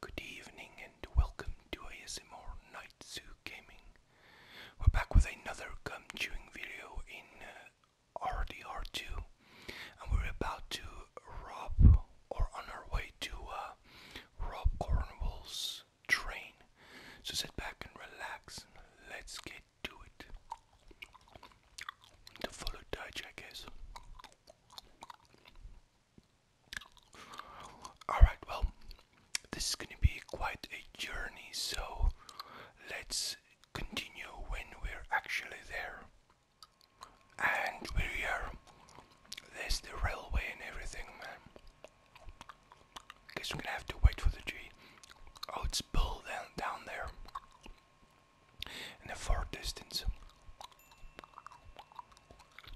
Good evening and welcome to ASMR Night Zoo Gaming. We're back with another gum chewing video in uh, RDR2 and we're about to rob or on our way to uh, Rob Cornwall's train. So sit back and relax and let's get to it. The full of Alright, well, this is gonna be quite a journey, so let's continue when we're actually there. And we're here. There's the railway and everything, man. Guess we're gonna have to wait for the tree. Oh, it's built down, down there in the far distance.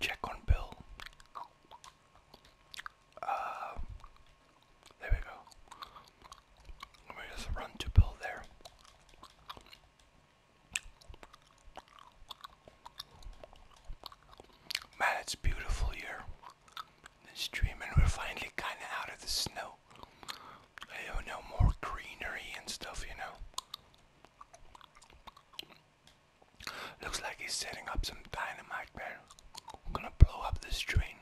Check on Bill. Uh, there we go. Let me just run to Bill there. Man, it's beautiful here. This stream, and we're finally kind of out of the snow. I know, more greenery and stuff, you know. Looks like he's setting up some dynamite there. gonna blow up this train.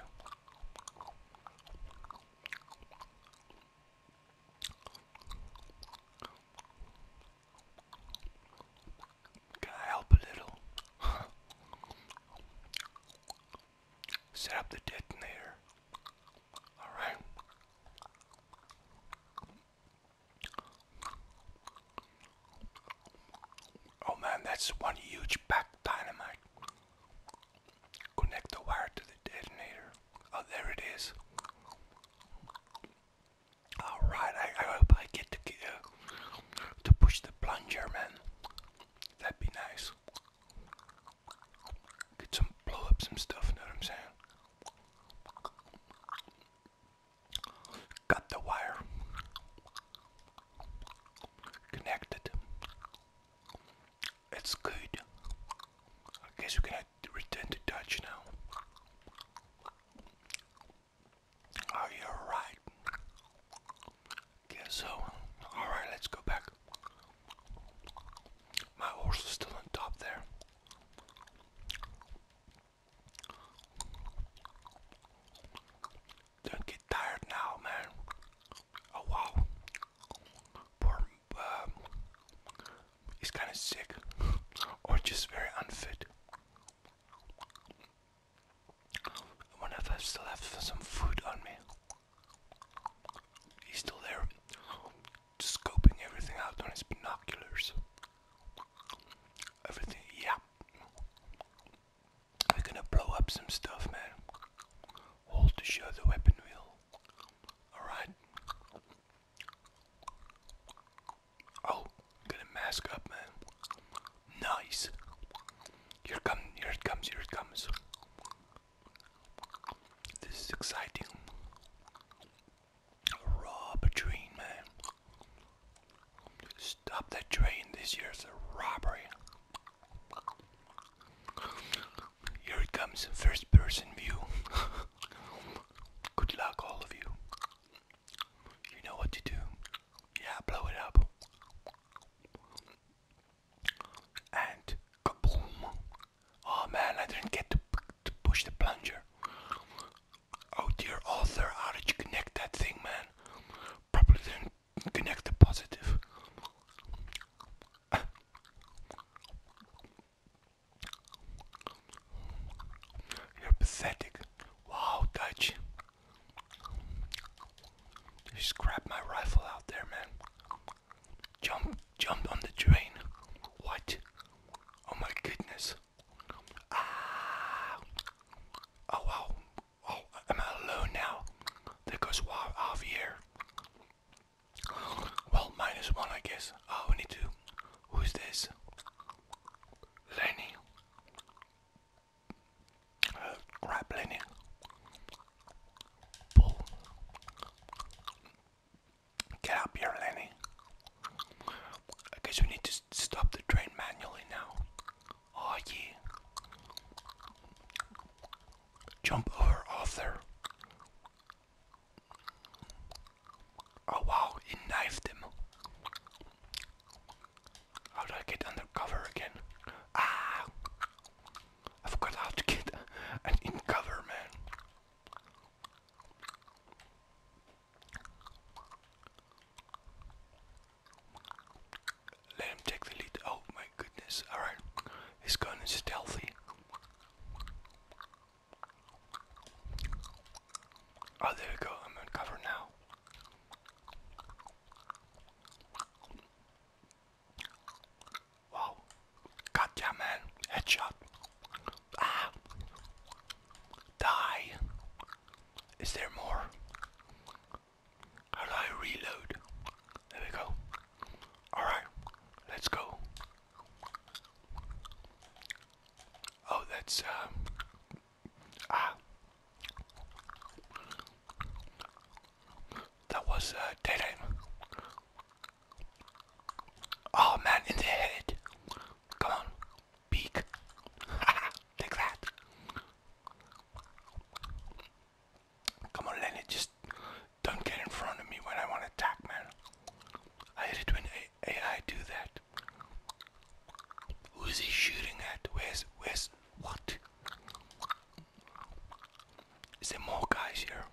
Can I help a little? Set up the detonator. Alright. Oh man, that's one huge pack dynamite. Connect the wire to the detonator. Oh, there it is. All right, I, hope I get to uh, to push the plunger, man. That'd be nice. Get some blow up some stuff. Know what I'm saying? Got the wire connected. It's good. I guess we can return to Dutch now. Are you alright? Guess so. Alright, let's go back. My horse is still on top there. Don't get tired now, man. Oh wow. Poor, um, he's kind of sick or just very unfit. I wonder if I still have some food on me. He's still there scoping everything out on his binoculars. Everything, yeah. We're gonna blow up some stuff, man. Hold to show weapon wheel. Alright. Oh, gonna mask up, man. Nice. Here come, here it comes, here it comes. This is exciting. Raw train, man. Stop that train. This year's a robbery. Here it comes, first person view. Good luck, all of you. You know what to do. Yeah, blow it up. And kaboom. Oh man, I didn't get to, to push the plunger. Oh dear Arthur, how did you connect that thing, man? Probably didn't connect the positive. You're pathetic. Wow, Dutch. You just grabbed my rifle out there, man. Jump, jump on the train. What? Oh my goodness. Ah. Oh wow. Oh, am I alone now? There goes half here. Well, minus one, I guess. Oh, we need to. Who's this? Lenny. Uh, Lenny. Pull. Get up here, Lenny. I guess we need to stop the train manually now. Oh, ye? Jump over, Arthur. Oh, wow, he knifed him. How do I get under cover again? Ah! I forgot how to get in cover, man. Let him take the lead. Oh my goodness. Alright. He's going stealthy. Oh, there we go. I'm on now. Wow. God man. Headshot. Ah. Die. Is there more? How do I reload? There we go. Alright. Let's go. Oh, that's, um, ah, that was uh, dead aim. Oh man, in the head. Come on, peek. Take that. Come on, Lenny, just don't get in front of me when I want to attack, man. I hate it when AI do that. Who is he shooting at? Where's, where's, what? Is there more guys here?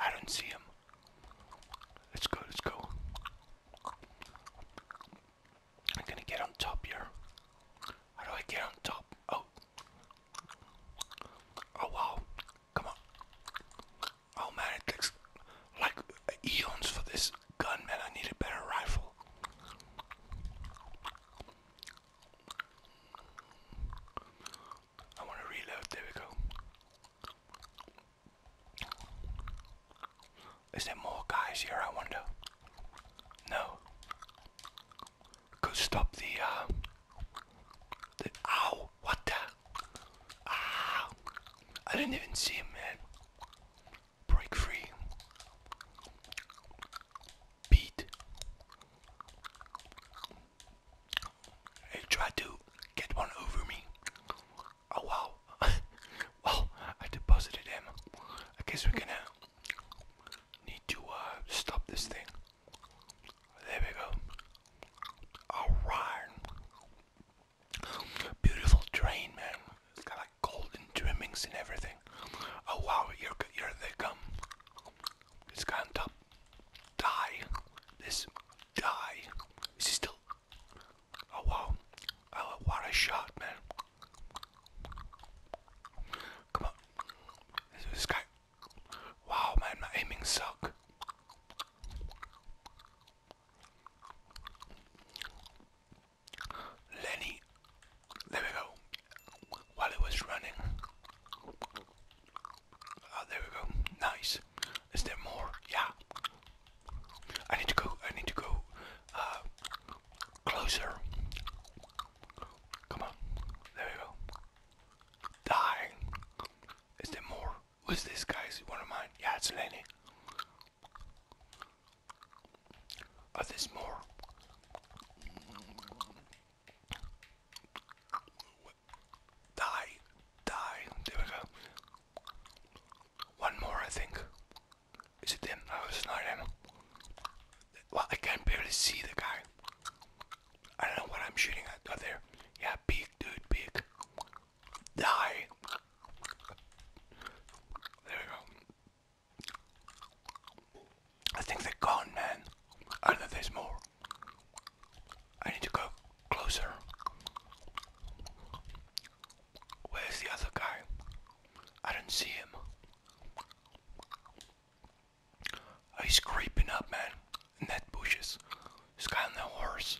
I don't see him. Let's go, let's go. I'm gonna get on top here. How do I get on top? Oh. Oh wow. Come on. Oh man, it looks like eons for this gun, man. I need a better rifle. I want to reload. There we go. Is there more guys here? I wonder. No. Could stop the. Uh, What the? Ah! I didn't even see him, man. Break free. Beat. He tried to get one over me. Oh wow. well, I deposited him. I guess we're gonna need to uh, stop this thing. There we go. Alright. Beautiful train, man. It's got like golden trimmings and everything. Oh wow, you they come. It's got on top die. This die. Is he still? Oh wow! Oh, what a shot, man! Come on, this, guy. Wow, man, my aiming suck. Lenny, there we go. While it was running, Oh, there we go. Nice. Is there more? Yeah. I need to go. I need to go uh, closer. Come on. There we go. Die. Is there more? Who's this, guys? One of mine. Yeah, it's Lenny. Oh, there's more. Die. Die. There we go. One more, I think. Is it them? No, it's not him. Well, I can barely see the guy. I don't know what I'm shooting at. Oh, there. Yeah, big dude, big. Die. There we go. I think they're gone, man. I know there's more. I need to go closer. Where's the other guy? I don't see him. Oh, he's creeping up, man, in that bushes. He's got no horse.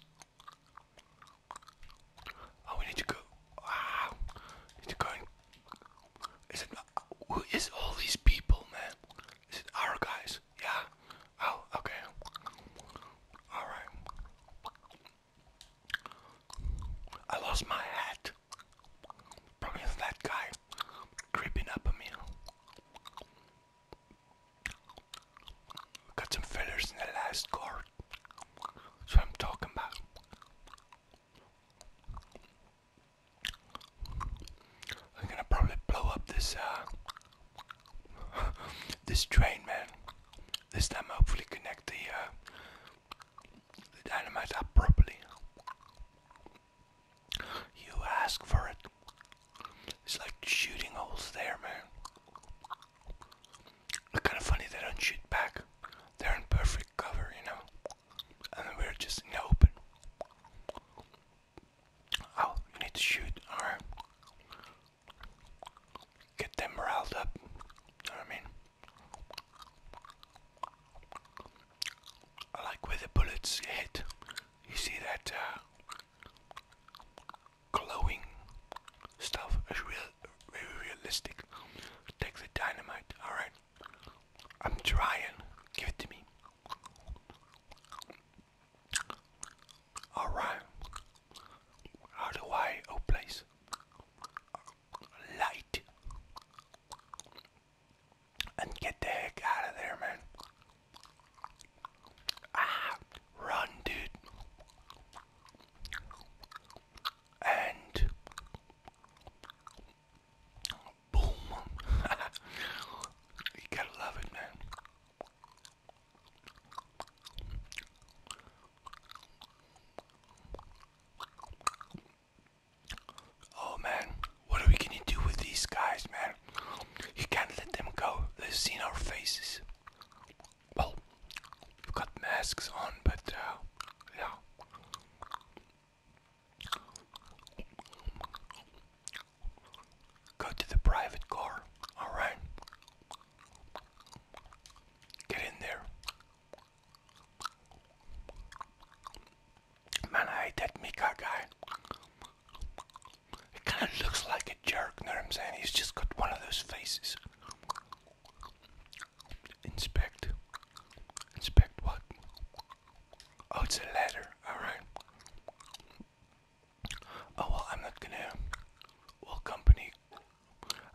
Oh, we need to go. Ah, need to go. Is it? Who is all these people, man? Is it our guys? Yeah. Oh, okay. All right. I lost my hat. Probably that guy creeping up on me. Got some fillers in the last card. That's what I'm talking about. I'm gonna probably blow up this uh, this train, man. This time, hopefully, connect the uh, the dynamite up properly. You ask for it. It's like shooting holes there, man. It's kind of funny they don't shoot back. They're in perfect cover, you know. And we're just in the open. Oh, you need to shoot or get them riled up. You know what I mean? I like where the bullets hit. You see that uh, glowing stuff is real, very realistic. Take the dynamite, alright? I'm trying. Give it to me. Alright. How do I oh place? Light and get the heck out of there, man. Ah, run, dude. And Boom. you gotta love it, man. Oh man, what are we gonna do with these guys, man? You can't let them go. They've seen our faces. Well, we've got masks on, but uh, yeah. Go to the private car, alright? Get in there. Man, I hate that Mika guy. He kind of looks like a jerk, you know what I'm saying? He's just got one of those faces. Inspect. Inspect what? Oh, it's a letter. Alright. Oh, well, I'm not gonna. Well, company.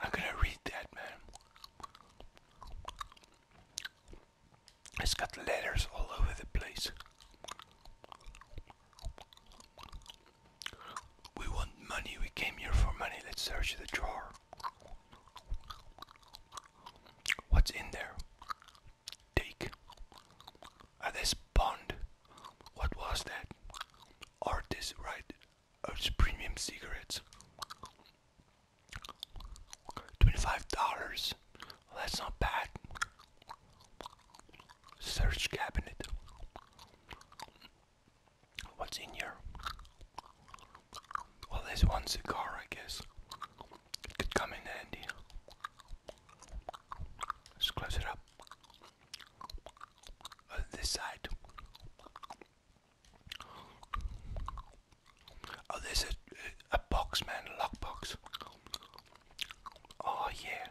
I'm gonna read that, man. It's got letters all over the place. We want money. We came here for money. Let's search the drawer. What's in there? take at this bond, What was that? Artist right Earth's premium cigarettes. $25. That's not bad. Search cabinet. What's in here? Well, there's one cigar, I guess. It could come in handy. Let's close it up. Oh, this side. Oh, there's a, a box, man, a lockbox. Oh, yeah.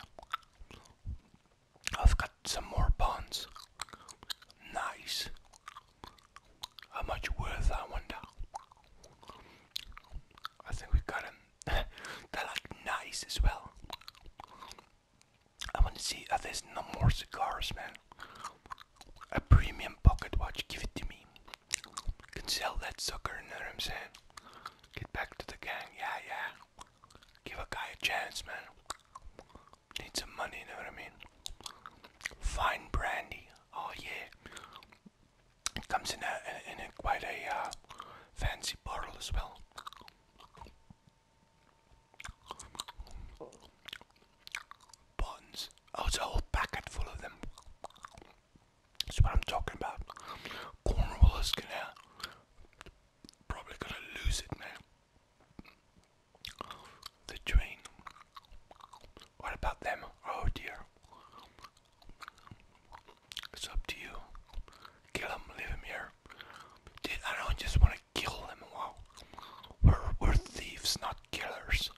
I've got some more bonds. Nice. How much worth, I wonder? I think we've They're nice as well. I want to see if uh, there's no more cigars, man. A premium pocket watch, give it to me. Can sell that sucker, you know what I'm saying? Get back to the gang, yeah, yeah. Give a guy a chance, man. Need some money, you know what I mean? Fine brandy, oh yeah. It comes in a quite a uh, fancy bottle as well. Buttons. Oh, it's a whole packet full of them. That's what I'm talking about. Cornwall is gonna probably gonna lose it, man. The train. What about them? Oh dear. It's up to you. Kill them, leave them here. I don't just want to kill them. Wow. We're, we're thieves, not killers.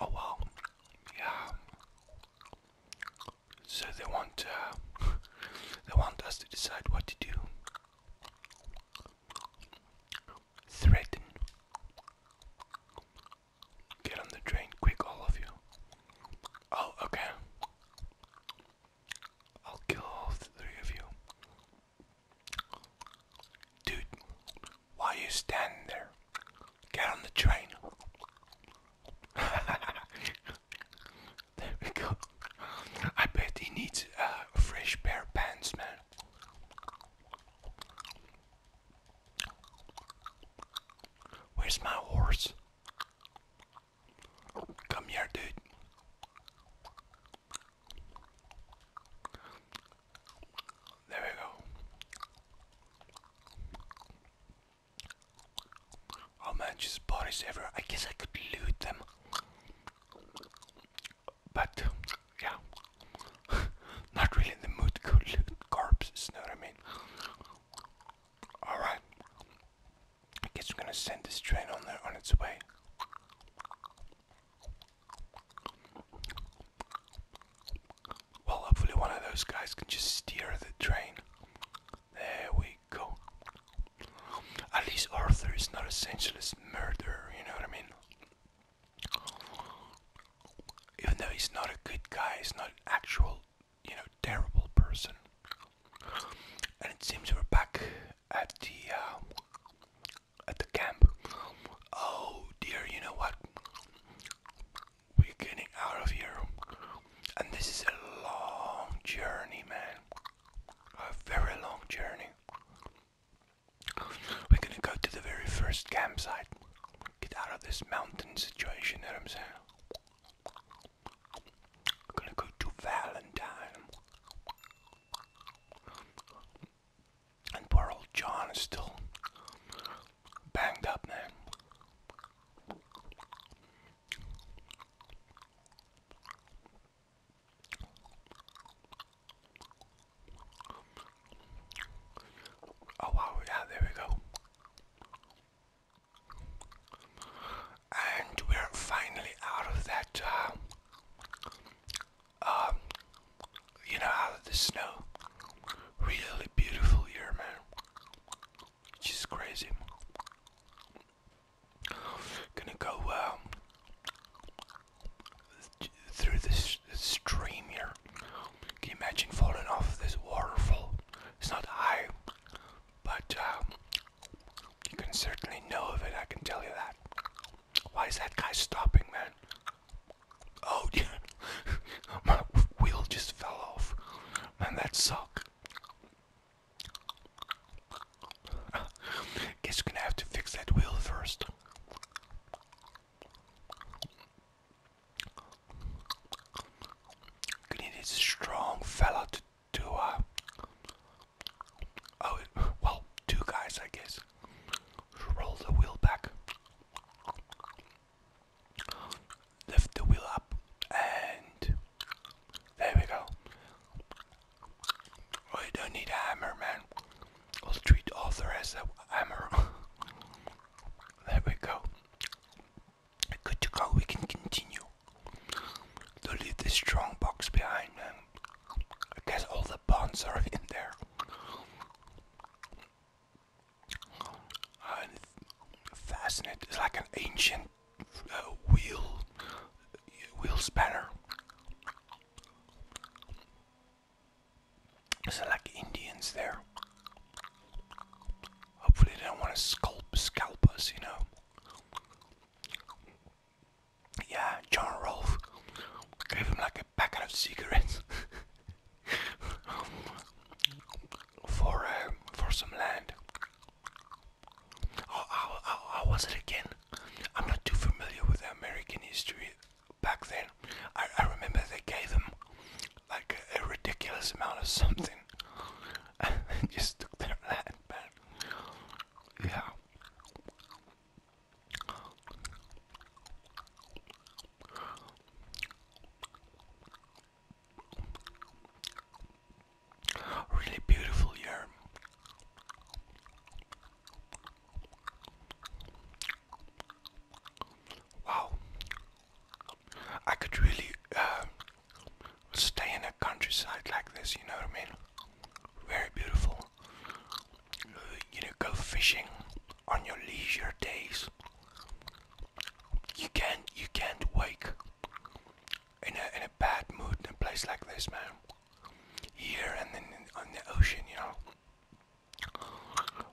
Oh wow. Yeah. So they want uh, they want us to decide what to do. Threaten. Get on the train quick, all of you. Oh, okay. I'll kill all three of you. Dude, why you standing there? Get on the train. there we go. I bet he needs uh, fresh pair of pants, man. Where's my horse? Come here, dude. There we go. Oh man, bodies everywhere. I guess I could loot them but yeah, not really in the mood to go loot corpses, know what I mean? Alright, I guess we're gonna send this train on there on its way. Well, hopefully, one of those guys can just steer the train. There we go. At least Arthur is not a senseless murderer, you know what I mean? Even though he's not a good guy, he's not an actual, you know, terrible person. And it seems we're back at the um, at the camp. Oh dear, you know what? We're getting out of here, and this is a long journey, man. A very long journey. We're gonna go to the very first campsite. Get out of this mountain situation, you I'm saying? gonna go to Valentine. And poor old John is still banged up, man. Oh wow, yeah, there we go. And we're finally out of that, uh, um, you know, out of the snow. Really beautiful here, man. Which is crazy. Gonna go, um, through this stream here. Can you imagine falling off this waterfall? It's not high, but uh, you can certainly know of it, I can tell you that. Why is that guy stopping, man? Oh, yeah. My wheel just fell off. Man, that sucks. Guess we're gonna have to fix that wheel first. You need a strong fella to do a. Uh, oh well two guys I guess roll the wheel back lift the wheel up and there we go. Oh you don't need a hammer man I'll treat Arthur as rest of hammer. there we go. Good to go, we can continue. To leave this strong box behind, and I guess all the bonds are in there. And fascinating, like an ancient uh, wheel, wheel spanner. So like Indians there. Hopefully they don't want to scalp, scalp us, you know. Yeah, John Rolfe gave him like a packet of cigarettes for uh, for some land. Oh, how was it again? I'm not too familiar with American history back then, I, remember they gave them like a, ridiculous amount of something, and just took their land back. Yeah. Really beautiful year. Wow, I could really uh, stay in a countryside like this, you know what I mean? Very beautiful. Uh, you know, go fishing on your leisure days. You can't, you can't wake in a in a bad mood in a place like this, man here and then on the ocean, you know.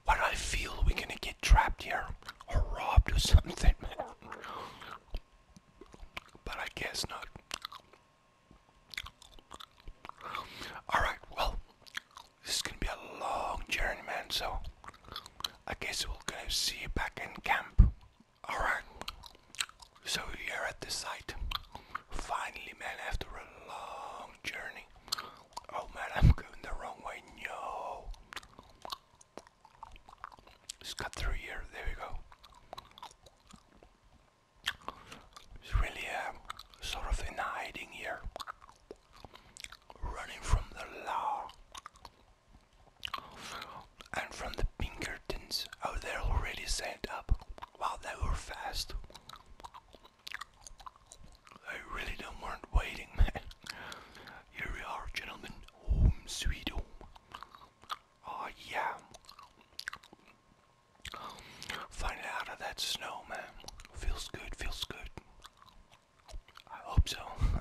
What do I feel we're gonna get trapped here or robbed or something? but I guess not. Alright, well, this is gonna be a long journey, man, so I guess we're gonna see you back in camp. Alright. So we are at the site. Finally, man, after a long journey. Oh man, I'm going the wrong way. No. Just cut through here. There we go. It's really um, sort of in hiding here. Running from the law. And from the Pinkertons. Oh, they're already set up. Wow, they were fast. I really don't mind waiting, man. Here we are, gentlemen. Home sweet home. Oh, ah, yeah. Finally out of that snow, man. Feels good, feels good. I hope so.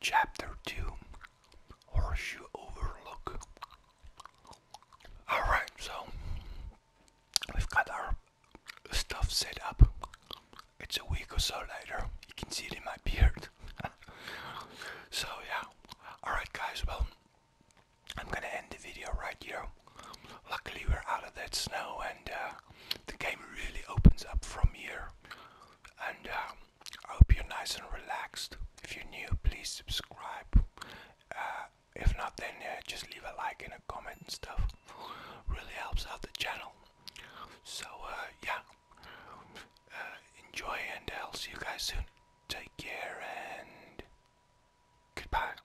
Chapter 2 Horseshoe Overlook. Alright, so we've got our stuff set up. It's a week or so later. You can see it in my beard. so, yeah. Alright, guys, well, I'm gonna end the video right here. Luckily we're out of that snow and uh, the game really opens up from here. And uh, I hope you're nice and relaxed. If you're new, please subscribe. Uh, if not, then uh, just leave a like and a comment and stuff. Really helps out the channel. So yeah, enjoy and I'll see you guys soon. Take care and goodbye.